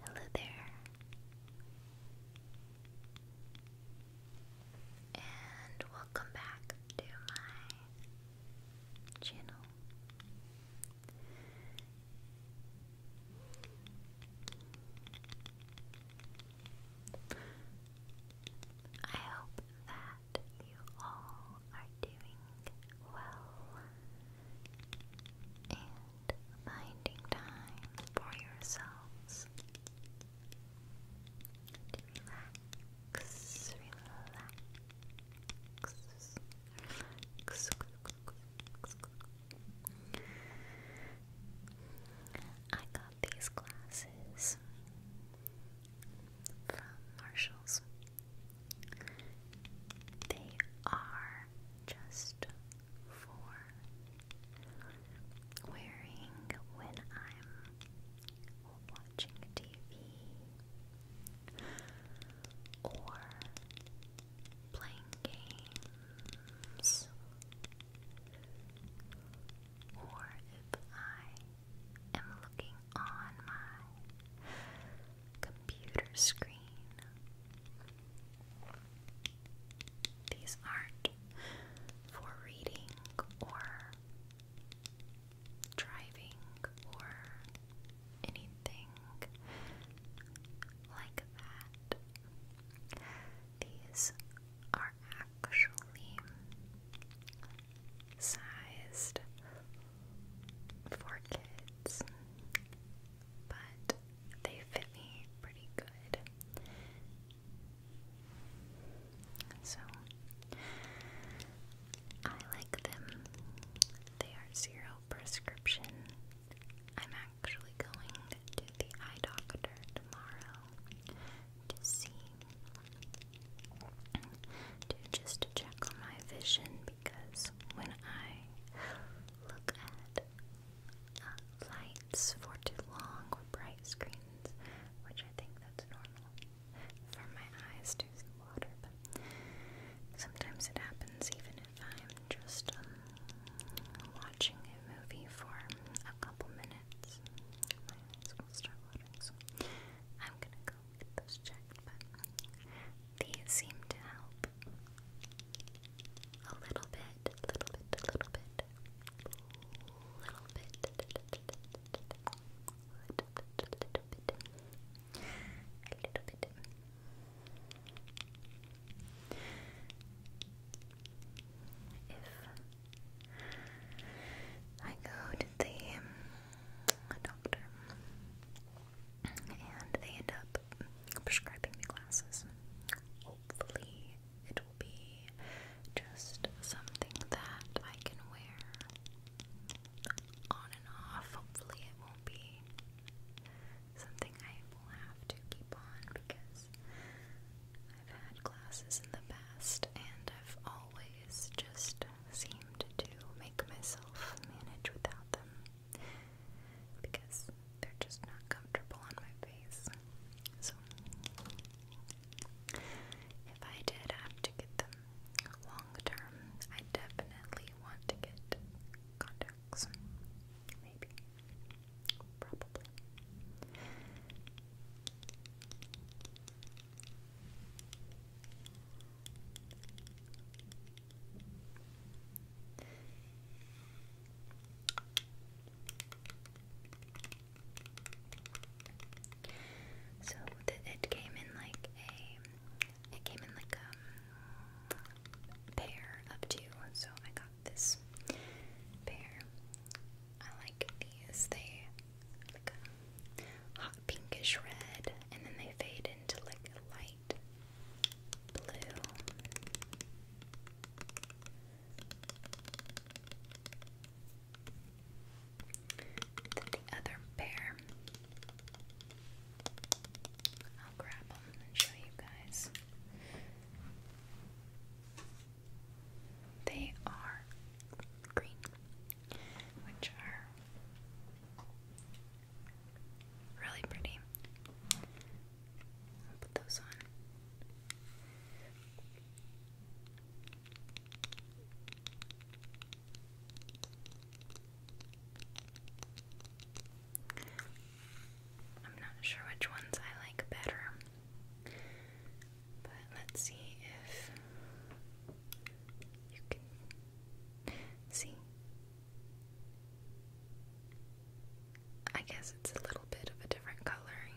Hello there, and welcome back to my channel. I hope that you all are doing well and finding time for yourselves to relax, relax, relax. relax, relax, relax, I got these glasses from Marshalls. They are just for wearing when I'm watching TV or playing games, or if I am looking on my computer screen. These aren't for reading or driving or anything like that. These are actually sized for kids, but they fit me pretty good. So I like them. They are zero prescription I'm actually going to the eye doctor tomorrow to see, to just check on my vision because when I look at uh, lights for too long or bright screens, which I think that's normal for my eyes to see water, but sometimes it happens even if I'm just um, watching a movie for a couple minutes, I'm gonna go get those checked, these seem to help a little bit, little bit, a little bit, little bit, little bit, little bit. If I go to the um, doctor and they end up prescribing me glasses, hopefully it will be just something that I can wear on and off. Hopefully, it won't be Something I will have to keep on because I've had classes in the past and I've always just seemed to make myself manage without them because they're just not comfortable on my face. So if I did have to get them long term, I definitely want to get contacts. Maybe. So it came in like a, it came in like a pair of two, so I got this pair. I like these. They like a um, hot pinkish red, and then they fade into like light blue. Then the other pair. I'll grab them and show you guys. They are green, which are really pretty. I'll put those on. I'm not sure which ones I like better. But let's see if you can see. I guess it's a little bit of a different coloring.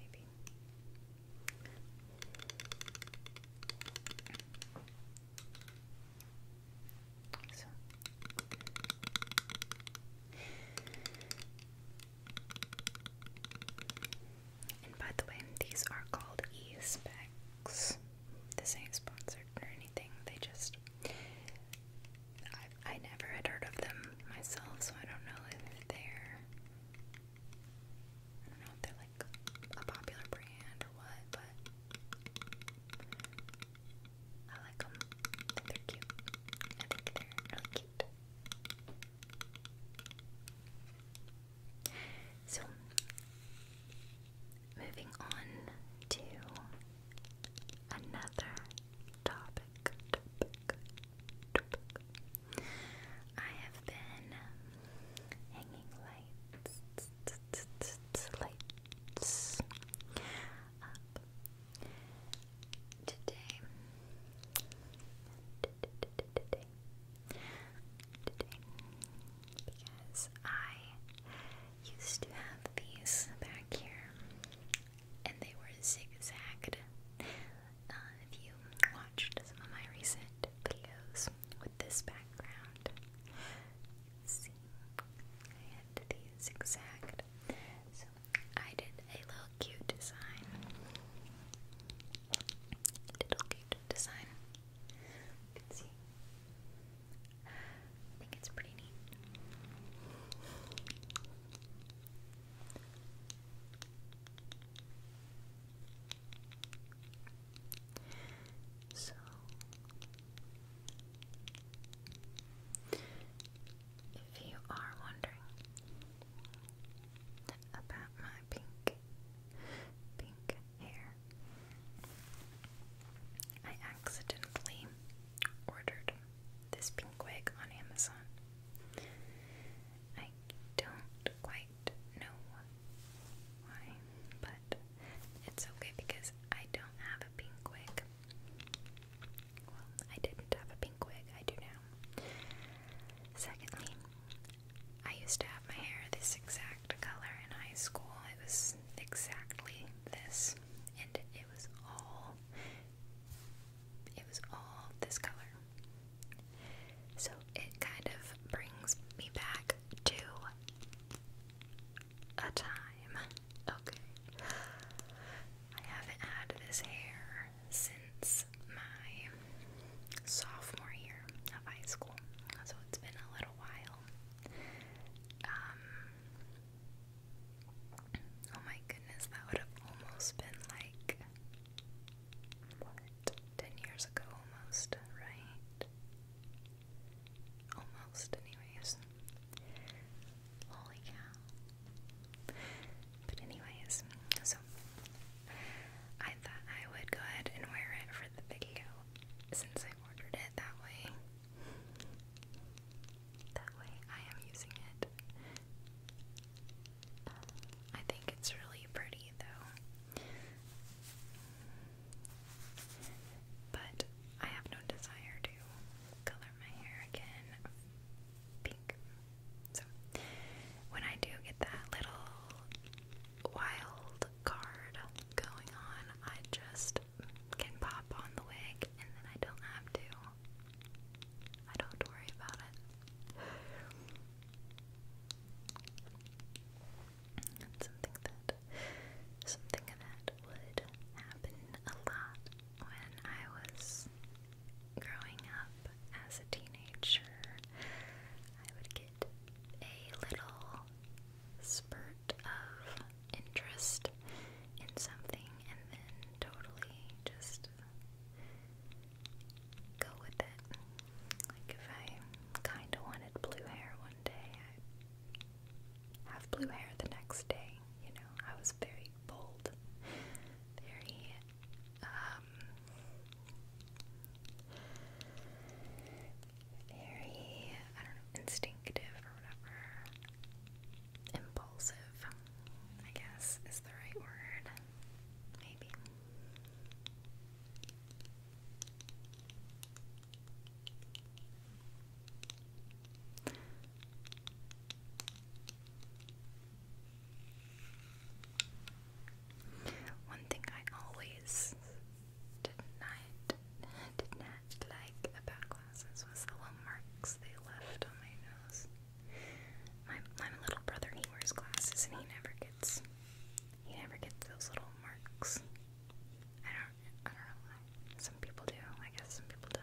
Maybe. And by the way, these are called e specs. This ain't sponsored or anything. They just I I never had heard of them myself, so I don't know if they're I don't know if they're like a popular brand or what, but I like them. I think they're cute. I think they're cute. So, moving on to another Topic. I have been hanging like Today, because I used to have these back here, and they were zigzagged. Uh, if you watched some of my recent videos with this background, See, I had these So I did a little cute design. Little cute design. You can see. I think it's pretty neat. So if you are wondering about my pink pink hair, I accidentally ordered this pink wig on Amazon. I don't quite know why, but it's okay because I don't have a pink wig. Well, I didn't have a pink wig, I do now. Secondly, I used to have my hair this exact color in high school. It was exactly this, and it was all it was all this color. So it kind of brings me back to a time. Okay. I haven't had this hair since my sophomore year of high school, so it's been a little while. Um, oh my goodness, that would have almost been like what, 10 years ago, almost, right? Almost, anyways. Holy cow. But, anyways, so I thought I would go ahead and wear it for the video since I ordered it that way. That way, I am using it. I think it's really pretty, though. But I have no desire to color my hair again pink. So when I do get that little wild card going on, I just can pop on the wig and then I don't have to. I don't worry about it something that something that would happen a lot when I was growing up as a teenager. I would get a little spurt of interest in something and then totally just go with it. Like if I kinda wanted blue hair one day. I have blue hair the next day, you know. I was very bold, very um, very I don't know, instinctive or whatever. Impulsive, I guess is the right word. Maybe. One thing I always did not did not like about glasses was the little marks they left on my nose. My my little brother he wears glasses and he never gets he never gets those little marks. I don't, I don't know Some people do. I guess some people don't.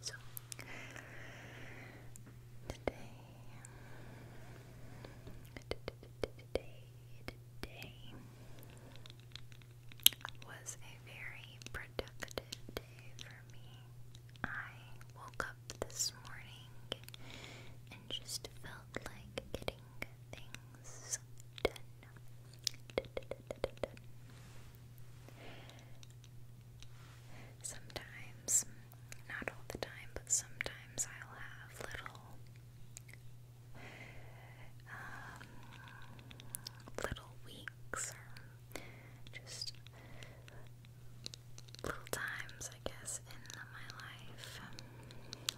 So today, today, today, was a very productive day for me. I woke up this morning and just felt like getting things done. Sometimes, not all the time, but sometimes I'll have little um, little weeks or just little times, I guess, in my life.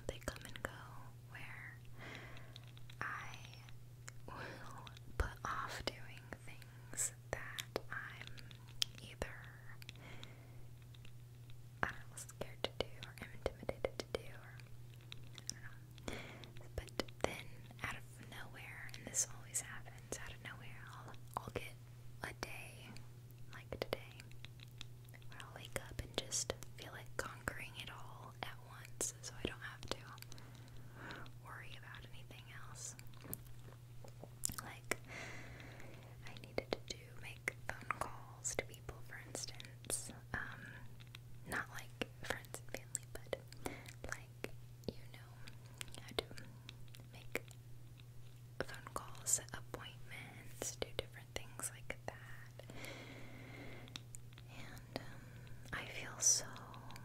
they come and go where I will put off doing things that I'm either scared to do or intimidated to do I don't know. But then, out of nowhere, and this always happens, out of nowhere, I'll, I'll get a day like today where I'll wake up and just feel like conquering it all at once so I don't have to worry about anything else. Like, I needed to do make phone calls to people, for instance. Um, not like friends and family, but like, you know how to make phone calls, appointments, do different things like that. And um, I feel so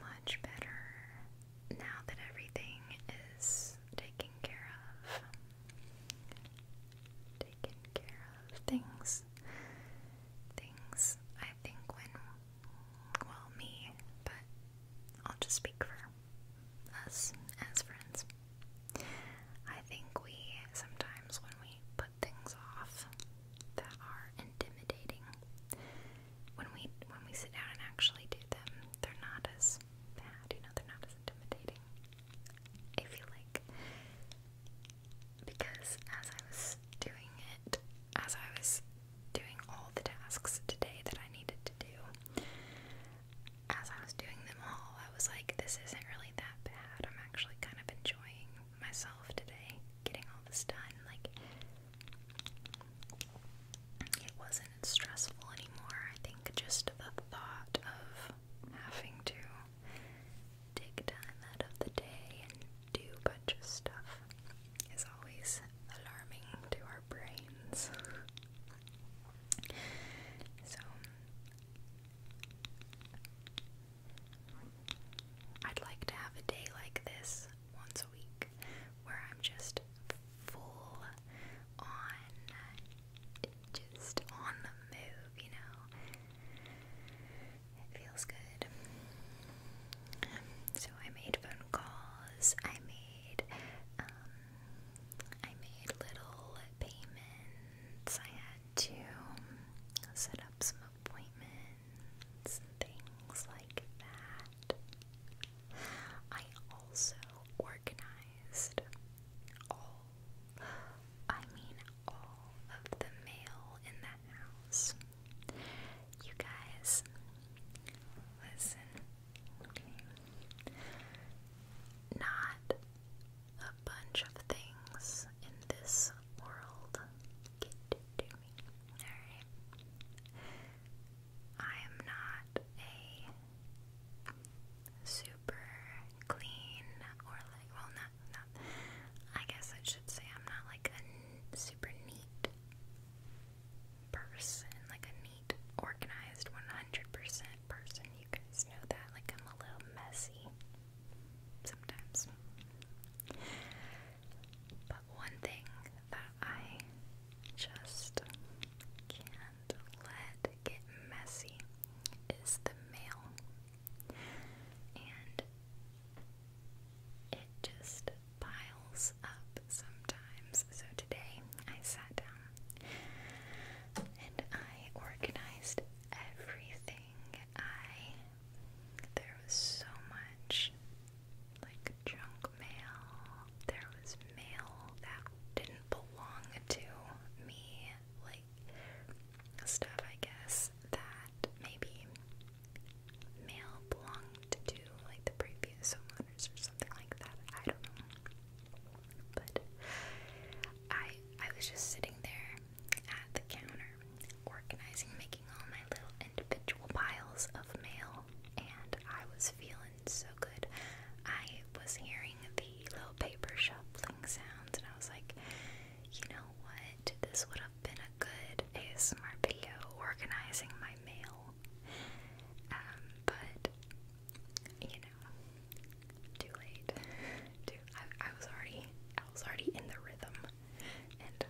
much better now that everything is taken care of. Taken care of things things, I think, when, well, me, but I'll just speak for us as friends. I think we sometimes, when we put things off that are intimidating, when we when we sit down and actually do them, they're not as bad, you know, they're not as intimidating. I feel like because as I was doing it, as I was doing all the tasks today that I needed to do, as I was doing them all, I was like, this isn't really that bad. I'm actually kind of enjoying myself today, getting all this done. Like, it wasn't stressful anymore. I think just the thought of having to take time out of the day and do a bunch of stuff is always alarming to our brains. so, I'd like to have a day like this once a week where I'm just full on, just on the move, you know. It feels good. Um, so I made phone calls. I made um, I made little payments. I had to set up some appointments and things like that. I also organized all I mean all of the mail in the house. You guys, listen, okay? Not a bunch of things in this world alright? I am not a super clean or like, well, not, not, I guess I should say I'm not like a super neat person, like a neat, organized 100% person. You guys know that. Like, I'm a little messy sometimes. But one thing that I just can't let get messy is the mail and it just piles up sometimes. So today I sat down and I organized everything. I there was so much like junk mail. There was mail that didn't belong to me. Like stuff I guess that maybe male belonged to like the previous homeowners or something like that. I don't know. But I I was just sitting there at the counter organizing, making all my little individual piles of mail and I was feeling so good. I was hearing the little paper shuffling sounds and I was like, you know what? This would have been a good ASMR video organizing my mail. Um, but you know, too late. I, I was already, I was already in the rhythm, and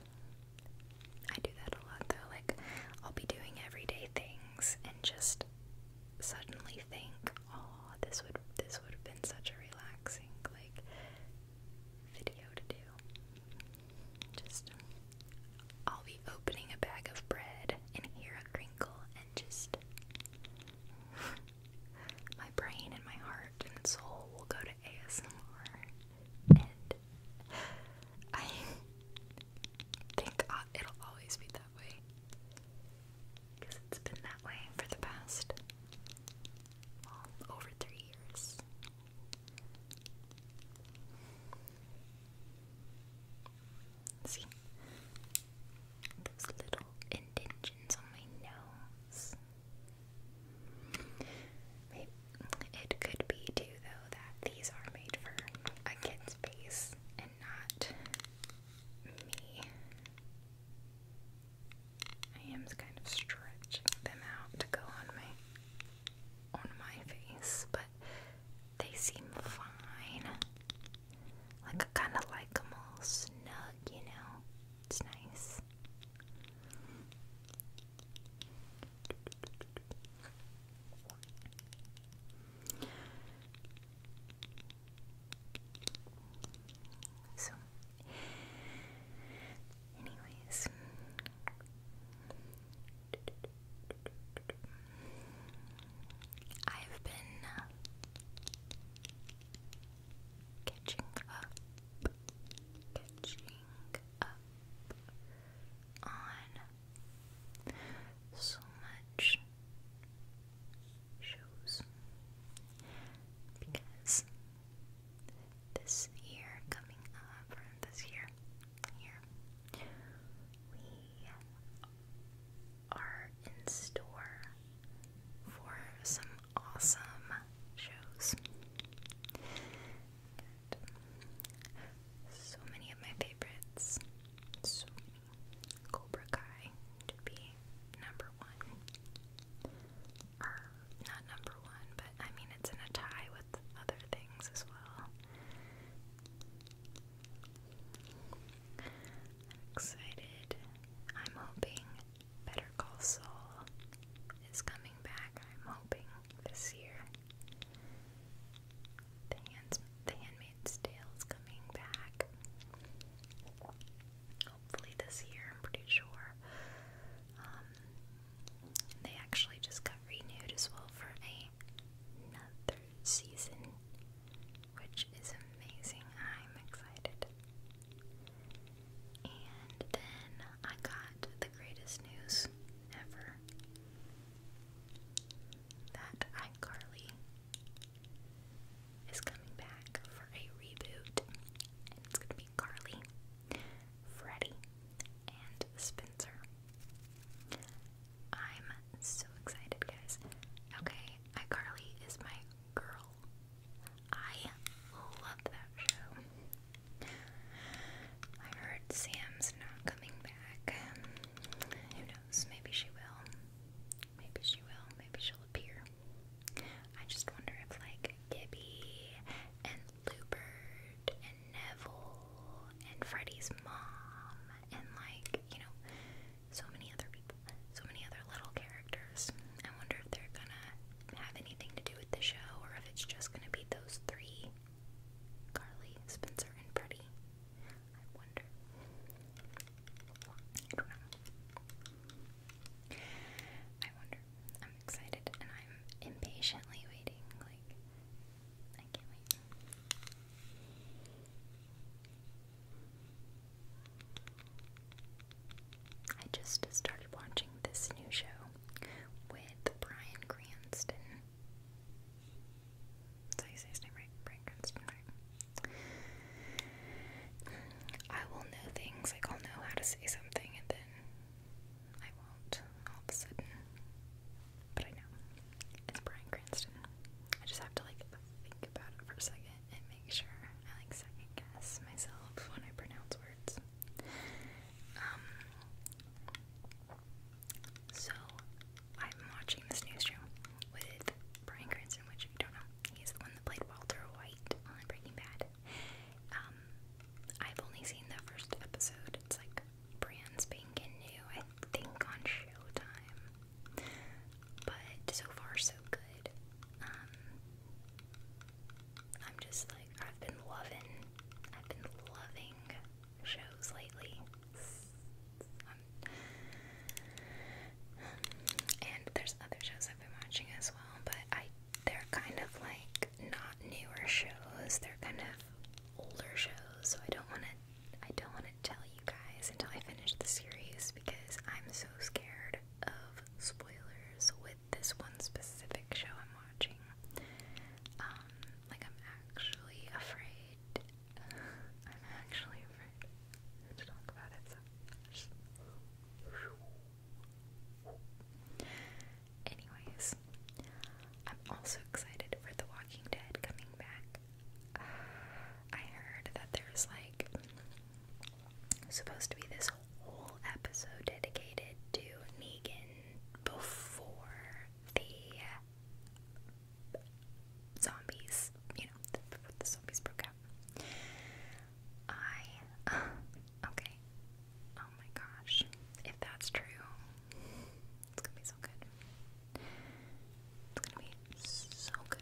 I do that a lot though. Like, I'll be doing everyday things and just suddenly think, oh, this would, this would have been such a relaxing like video to do. Just I'll be opening a bag of bread and hear a crinkle and just my brain and my heart and soul will go to ASMR and I think i it'll always be that way because it's been that way for the past well, over three years. See those little indentions on my nose. Maybe it could be too, though, that these are made for a kid's face and not me. I am kind of stretching them out to go on my on my face, but they seem fine. Like I kind of like them all snug, you know. It's nice. So Anyways. I've been uh, catching up, catching up on so much shows because this year coming up, or this year, year, we are in store for some awesome shows. so many of my favorites, Cobra Kai to be number one or not number one, but I mean it's in a tie with other things as well. am excited. I'm hoping Better Call Saul is coming back. I'm hoping this year. The Handmaid's Tale is coming back hopefully this year, I'm pretty sure. Um, they actually just got renewed as well for another season, which is amazing. I'm excited. And then I got the greatest news ever that iCarly is coming back for a reboot. it's going to be Carly, Freddie, and Spencer. I'm so excited, guys. Okay, iCarly is my girl. I love that show. I heard Sam's not coming back. who knows? Maybe she will. Maybe she will. Maybe she'll appear. I just wonder if like Gibby and Lubert and Neville and Freddie's mom and like, you know, so many other people, so many other little characters. I wonder if they're gonna have anything to do with the show or if it's just gonna be those three Carly, Spencer, and Freddy. I wonder. I don't know. I wonder. I'm excited and I'm impatiently waiting. Like, I can't wait. I just started watching this new show with Brian Cranston. Did I say his name right? Brian Cranston, right? I will know things, like I'll know how to say something, and then I won't all of a sudden. But I know. It's Brian Cranston. I just have to like think about it for a second and make sure I like second guess myself when I pronounce words. Um, so I'm watching this new show with Brian Cranston, which you don't know, he's the one that played Walter White White Bad. Um, I've only seen the first episode. It's like brand spanking new, I think on Showtime. But so far, so good. Um, I'm just like, I've been loving, I've been loving shows lately. Um, and there's other shows I've been watching as well, but I they're kind of like not newer shows. They're kind of older shows, so I don't want to I don't want to tell you guys until I finish the series because I'm so scared of spoilers with this one specific show I'm watching. Um, like I'm actually afraid. I'm actually afraid to talk about it, Anyways, I'm also excited for The Walking Dead coming back. I heard that there's like supposed to be this whole episode dedicated to Negan before the zombies, you know, the zombies broke out. I. okay. Oh my gosh. If that's true, it's gonna be so good. It's gonna be so good.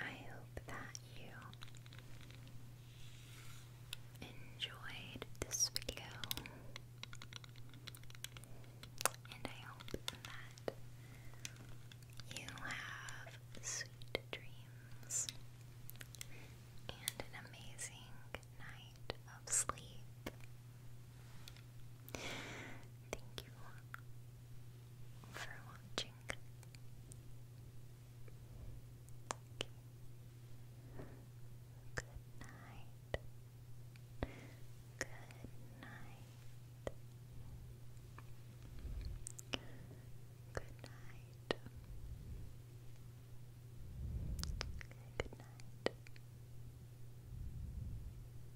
I hope that you enjoyed this video, and I hope that you have sweet dreams and an amazing night of sleep. Thank you for watching. Good night. Good night. Good night. Good night.